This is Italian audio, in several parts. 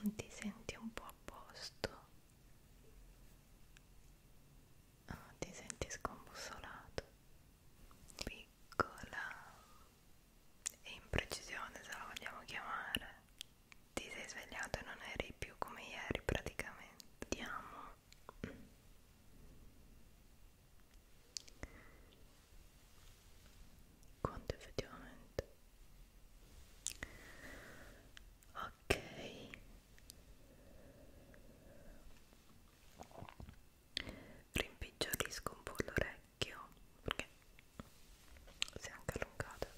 Non ti senti un po' a posto? Oh, ti senti scombussolato? Qui piccola e imprecisione se la vogliamo chiamare ti sei svegliato e non eri più come ieri praticamente vediamo quanto effettivamente ok rimpicciollisco un po' l'orecchio perché si è anche allungato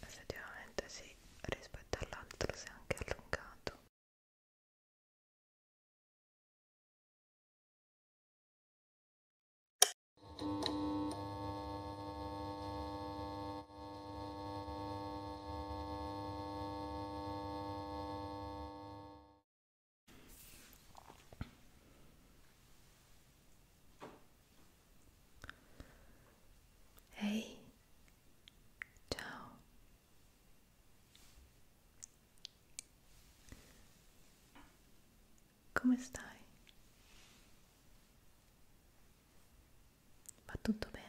effettivamente sì rispetto all'altro si è anche allungato Ehi, hey, ciao. Come stai? Va tutto bene?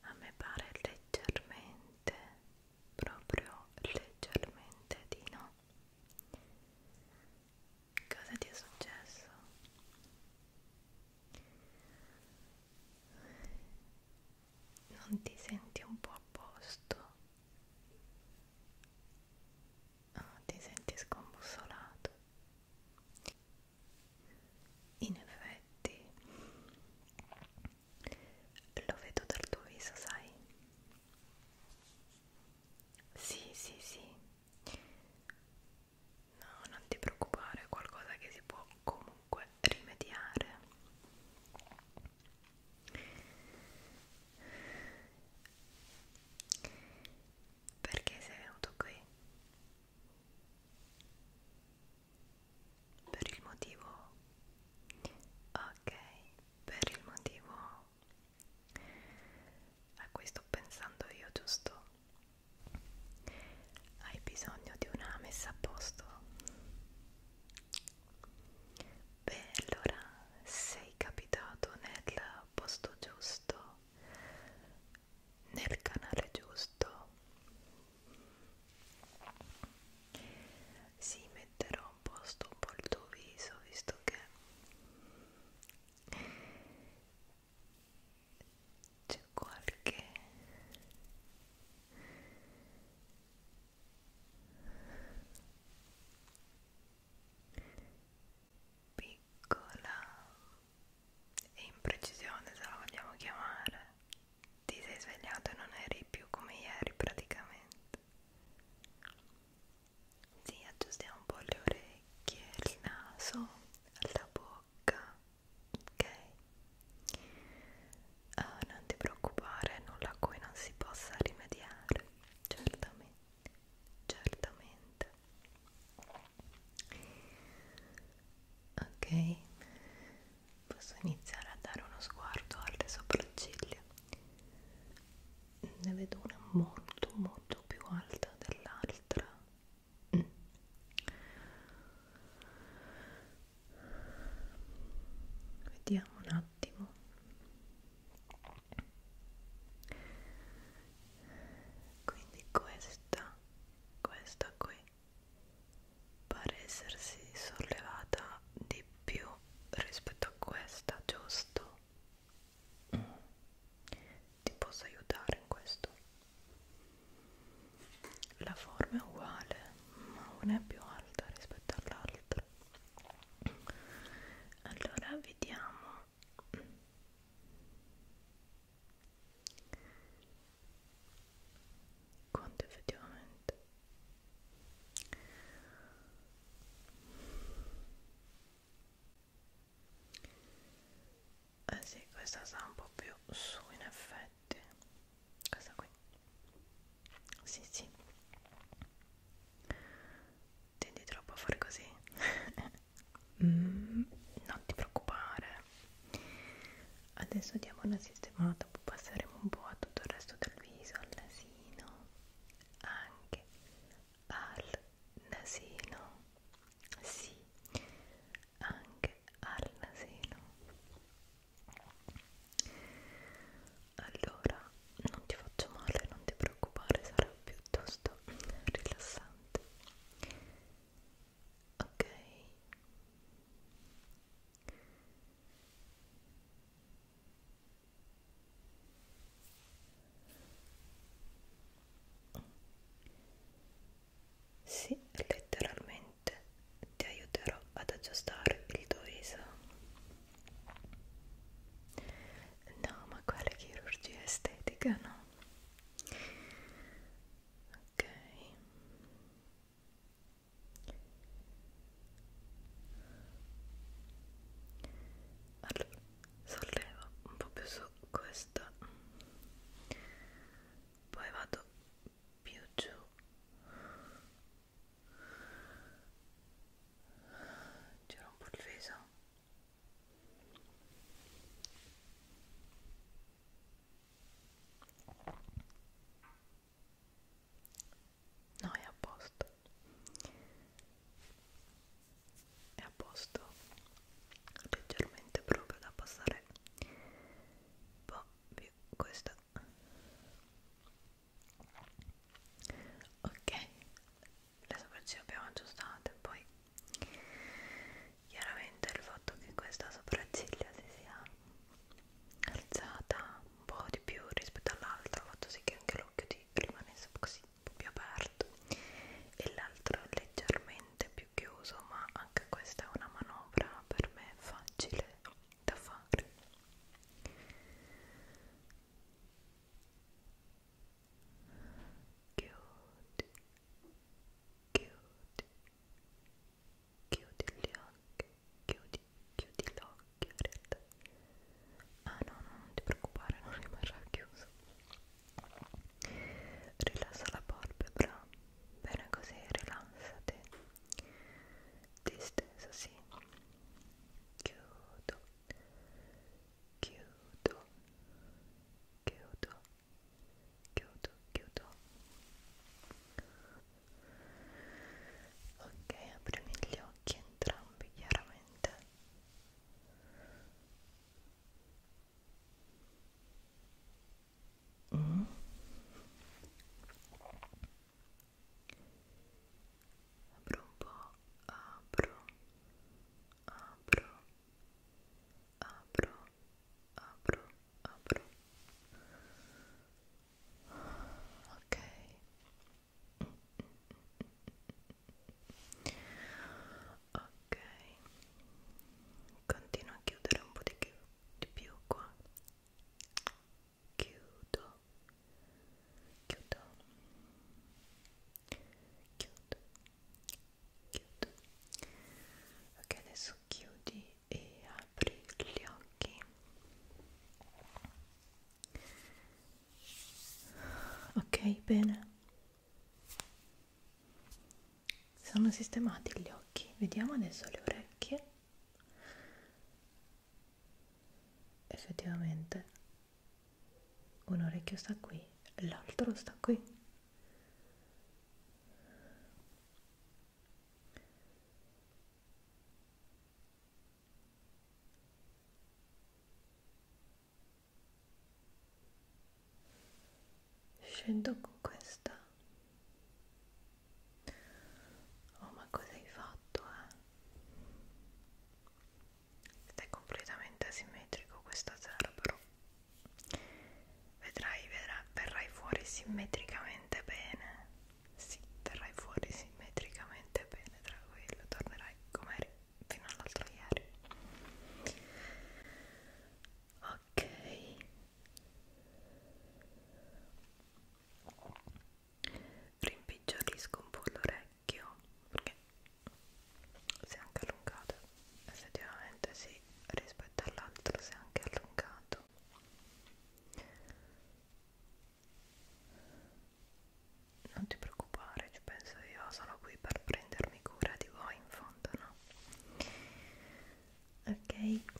a me pare leggermente proprio leggermente di no cosa ti è successo? non ti senti un po' a posto? Oh, ti senti scombussolato? In effetti lo vedo dal tuo viso, sai? Sì, sì, sì. No, non ti preoccupare, è qualcosa che si può comunque rimediare. Perché sei venuto qui? per il motivo ok per il motivo a cui sto pensando io giusto hai bisogno di una messa a posto beh allora sei capitato nel posto giusto nel canale giusto si sì, metterò un posto un po' il tuo viso visto che c'è qualche piccola e imprecisione se la vogliamo chiamare ti sei svegliato e non eri più come ieri praticamente sì, aggiustiamo un po' le orecchie, il naso, la bocca ok? Uh, non ti preoccupare, nulla a cui non si possa rimediare certamente, certamente ok posso iniziare a dare uno sguardo alle sopracciglia ne vedo una molto molto più alta dell'altra mm. vediamo un attimo quindi questa questa qui pare essersi sollevata di più rispetto a questa giusto mm. ti posso aiutare in questo la forma è uguale ma una è più alta rispetto all'altra allora vediamo quanto effettivamente eh sì questa sa un po' più su in effetti questa qui sì sì tendi troppo a fare così mm, non ti preoccupare adesso diamo una sistemata poi passeremo un po' a tutto il resto del viso al nasino anche al nasino sì anche al nasino allora non ti faccio male non ti preoccupare sarà piuttosto rilassante ok sì, letteralmente ti aiuterò ad aggiustare il tuo viso no, ma quale chirurgia estetica, no? ok allora sollevo un po' più su questa poi vado più giù giro un po' il viso No, è a posto. È a posto. Leggermente proprio da passare un po' più questa. Ok, le sopracciglia abbiamo aggiustate, poi chiaramente il fatto che questa sopracciglia si sia alzata un po' di più rispetto all'altro ha fatto sì che anche l'occhio ti rimanesse così un po' più aperto e l'altro leggermente più chiuso ma anche questa è una manovra per me facile da fare chiudi chiudi Chiudi gli occhi, chiudi, chiudi l'occhio in realtà. Ah no, no, non ti preoccupare, non rimarrà chiuso. Rilassa la palpebra, bene così, rilassati. Distesa, sì. Chiudo, chiudo, chiudo chiudo chiudo ok aprimi gli occhi entrambi chiaramente mm. apro un po' apro apro apro, apro, apro. Ok. Ok. Continuo a chiudere un po' di, più, di più qua. Chiudo. Chiudo. Chiudo chiudo ok adesso chiudi e apri gli occhi ok bene sono sistemati gli occhi vediamo adesso le orecchie effettivamente un orecchio sta qui l'altro sta qui Scendo con questa. Oh, ma cosa hai fatto? Eh? Ed è completamente asimmetrico questa sera, però Vedrai, vedrai, verrai fuori simmetricamente bene. Sì, verrai fuori simmetricamente bene, tranquillo, tornerai come eri fino all'altro ieri. Ok. Rimpicciolisco un po' l'orecchio perché si è anche allungata effettivamente sì, rispetto all'altro si è anche allungato non ti preoccupare, ci penso io, sono qui per prendermi cura di voi in fondo, no? Ok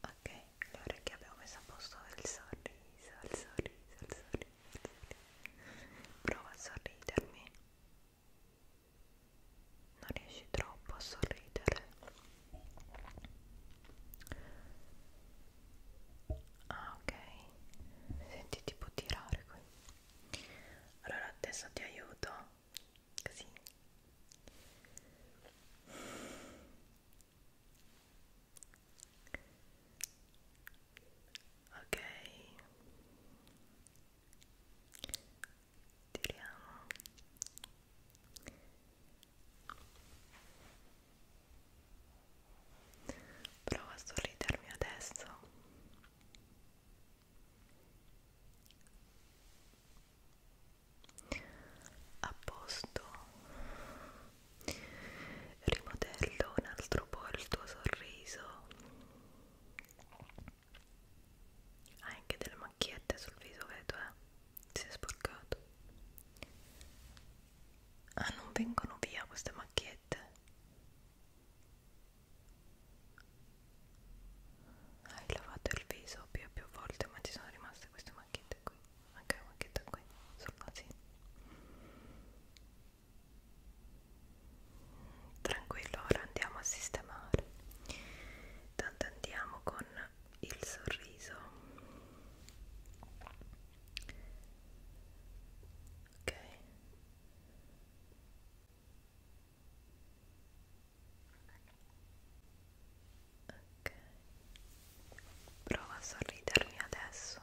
Ok, allora che abbiamo messo a posto il sorriso, il sorriso, il sorriso. Prova a sorridermi. Non riesci troppo a sorridere. Ah, ok. Senti tipo tirare qui allora adesso ti aiuto così ok tiriamo Prova a sorridermi adesso. A posto. Rimodello un altro po' il tuo sorriso. Hai anche delle macchiette sul viso, vedo, eh? Si è sporcato. Ah, non vengono via queste macchiette hai lavato il viso più e più volte ma ci sono rimaste queste macchiette qui anche la macchietta qui sul nasino tranquillo ora andiamo a sistemare tanto andiamo con il sorriso ok Ok, prova a sorridermi adesso.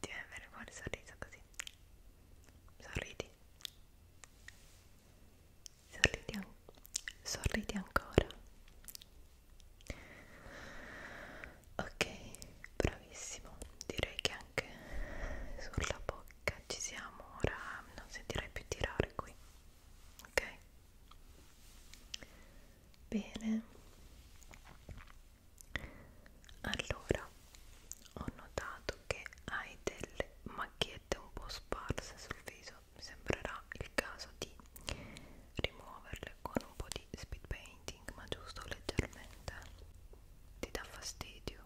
Ti viene bene fuori il sorriso così. Sorridi. Sorridi, an sorridi ancora ok bravissimo direi che anche sulla bocca ci siamo ora non sentirei più tirare qui ok bene allora ho notato che hai delle macchiette un po' sparse sul viso mi sembrerà il caso di rimuoverle con un po' di speed painting ma giusto leggermente ti dà fastidio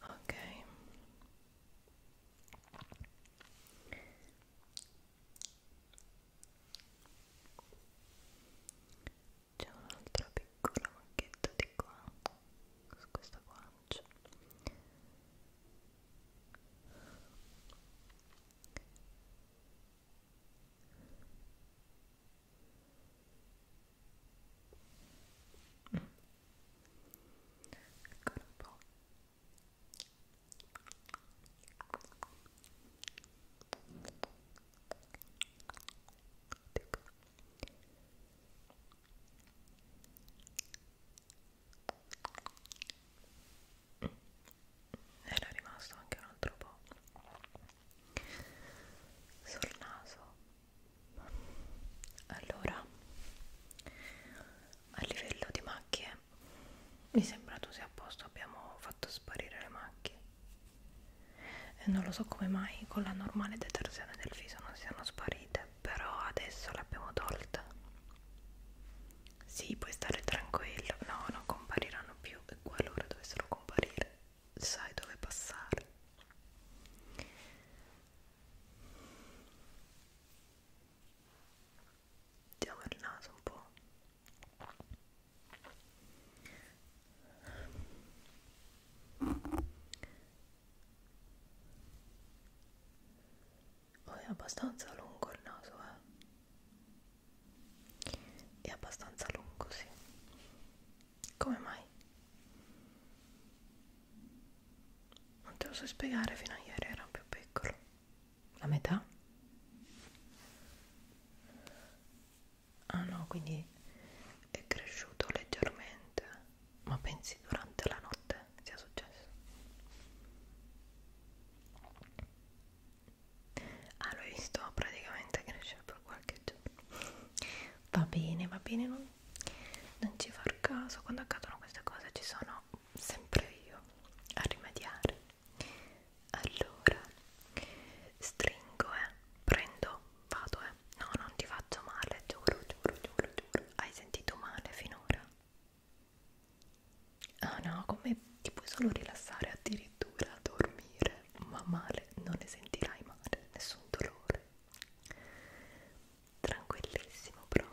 ok c'è un'altra piccola macchietta di qua su questa guancia mm. ancora un po' Era rimasto anche un altro po' sul naso. Allora, a livello di macchie mi sembra tu sia a posto, abbiamo fatto sparire le macchie. E non lo so come mai con la normale detersione del viso non siano sparite, però adesso le abbiamo tolte. Sì, puoi stare tranquillo, no, non compariranno più e qualora dovessero comparire, sai dove passare. Mettiamo il naso un po'. Oh, è abbastanza lungo il naso, eh. È abbastanza lungo, sì. Come mai? Non te lo so spiegare, fino a ieri era più piccolo la metà ah no quindi è cresciuto leggermente ma pensi durante la notte sia successo ah l'ho visto praticamente crescere per qualche giorno va bene va bene non, non ci far caso quando accadono queste cose ci sono sempre io a rimediare allora stringo eh prendo vado eh no non ti faccio male giuro giuro giuro giuro hai sentito male finora ah no come ti puoi solo rilassare addirittura dormire ma male non ne sentirai male nessun dolore tranquillissimo proprio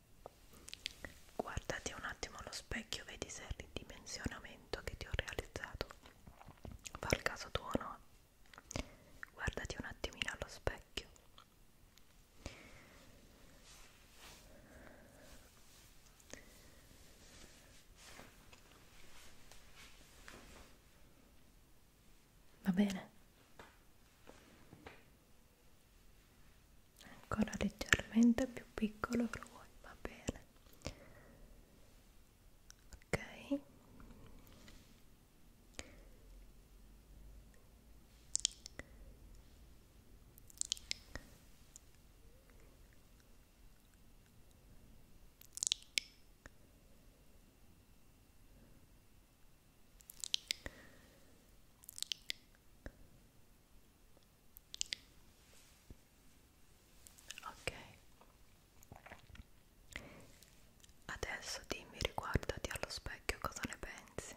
Guardati un attimo allo specchio, vedi se il ridimensionamento che ti ho realizzato fa il caso tuo o no? Guardati un attimino allo specchio. Va bene? ancora leggermente più piccolo lo vuoi, va bene ok ok Ok, adesso dimmi riguardati allo specchio cosa ne pensi.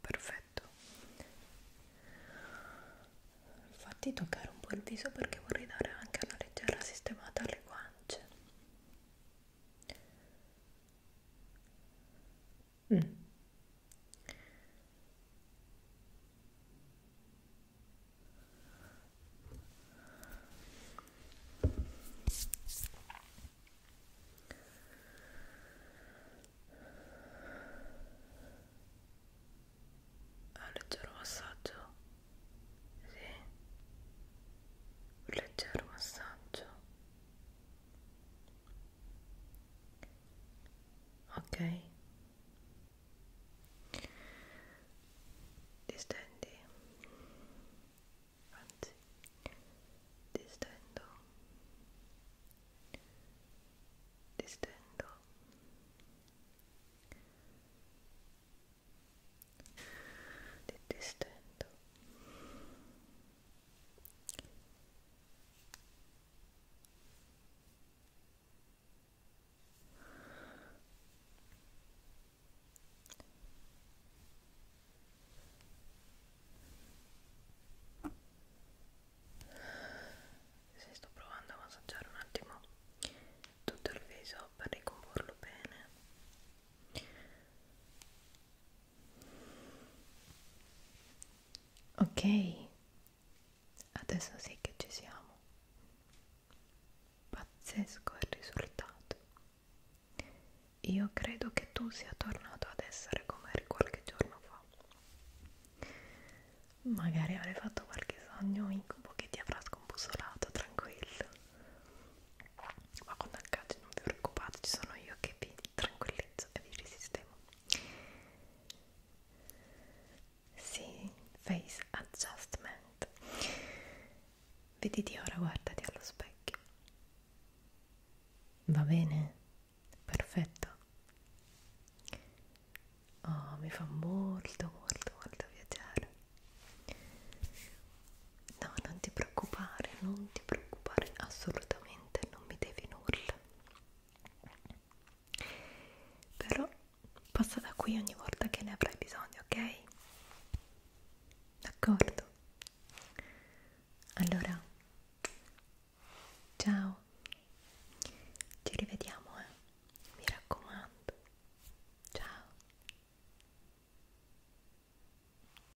Perfetto. Fatti toccare un po' il viso perché vorrei dare anche una leggera sistemata alle guance. Mm. Un ah, leggero massaggio, sì, un leggero massaggio Okay. Distendi. Anzi, distendo. Distendo. Se sto provando a massaggiare un attimo tutto il viso per ricomporlo bene Ok, adesso sì che ci siamo. Pazzesco il risultato. Io credo che tu sia tornato ad essere come eri qualche giorno fa. Magari avrai fatto qualche sogno incubo che ti avrà scombussolato, tranquillo ma con l'HD non vi preoccupate ci sono io che vi tranquillizzo e vi risistemo sì, face adjustment vediti ora, guardati allo specchio va bene? perfetto oh, mi fa molto molto molto piacere No, non ti preoccupare, non ti preoccupare, assolutamente non mi devi nulla. Però passa da qui ogni volta che ne avrai bisogno, ok? D'accordo? Allora, ciao, ci rivediamo, eh? Mi raccomando, ciao.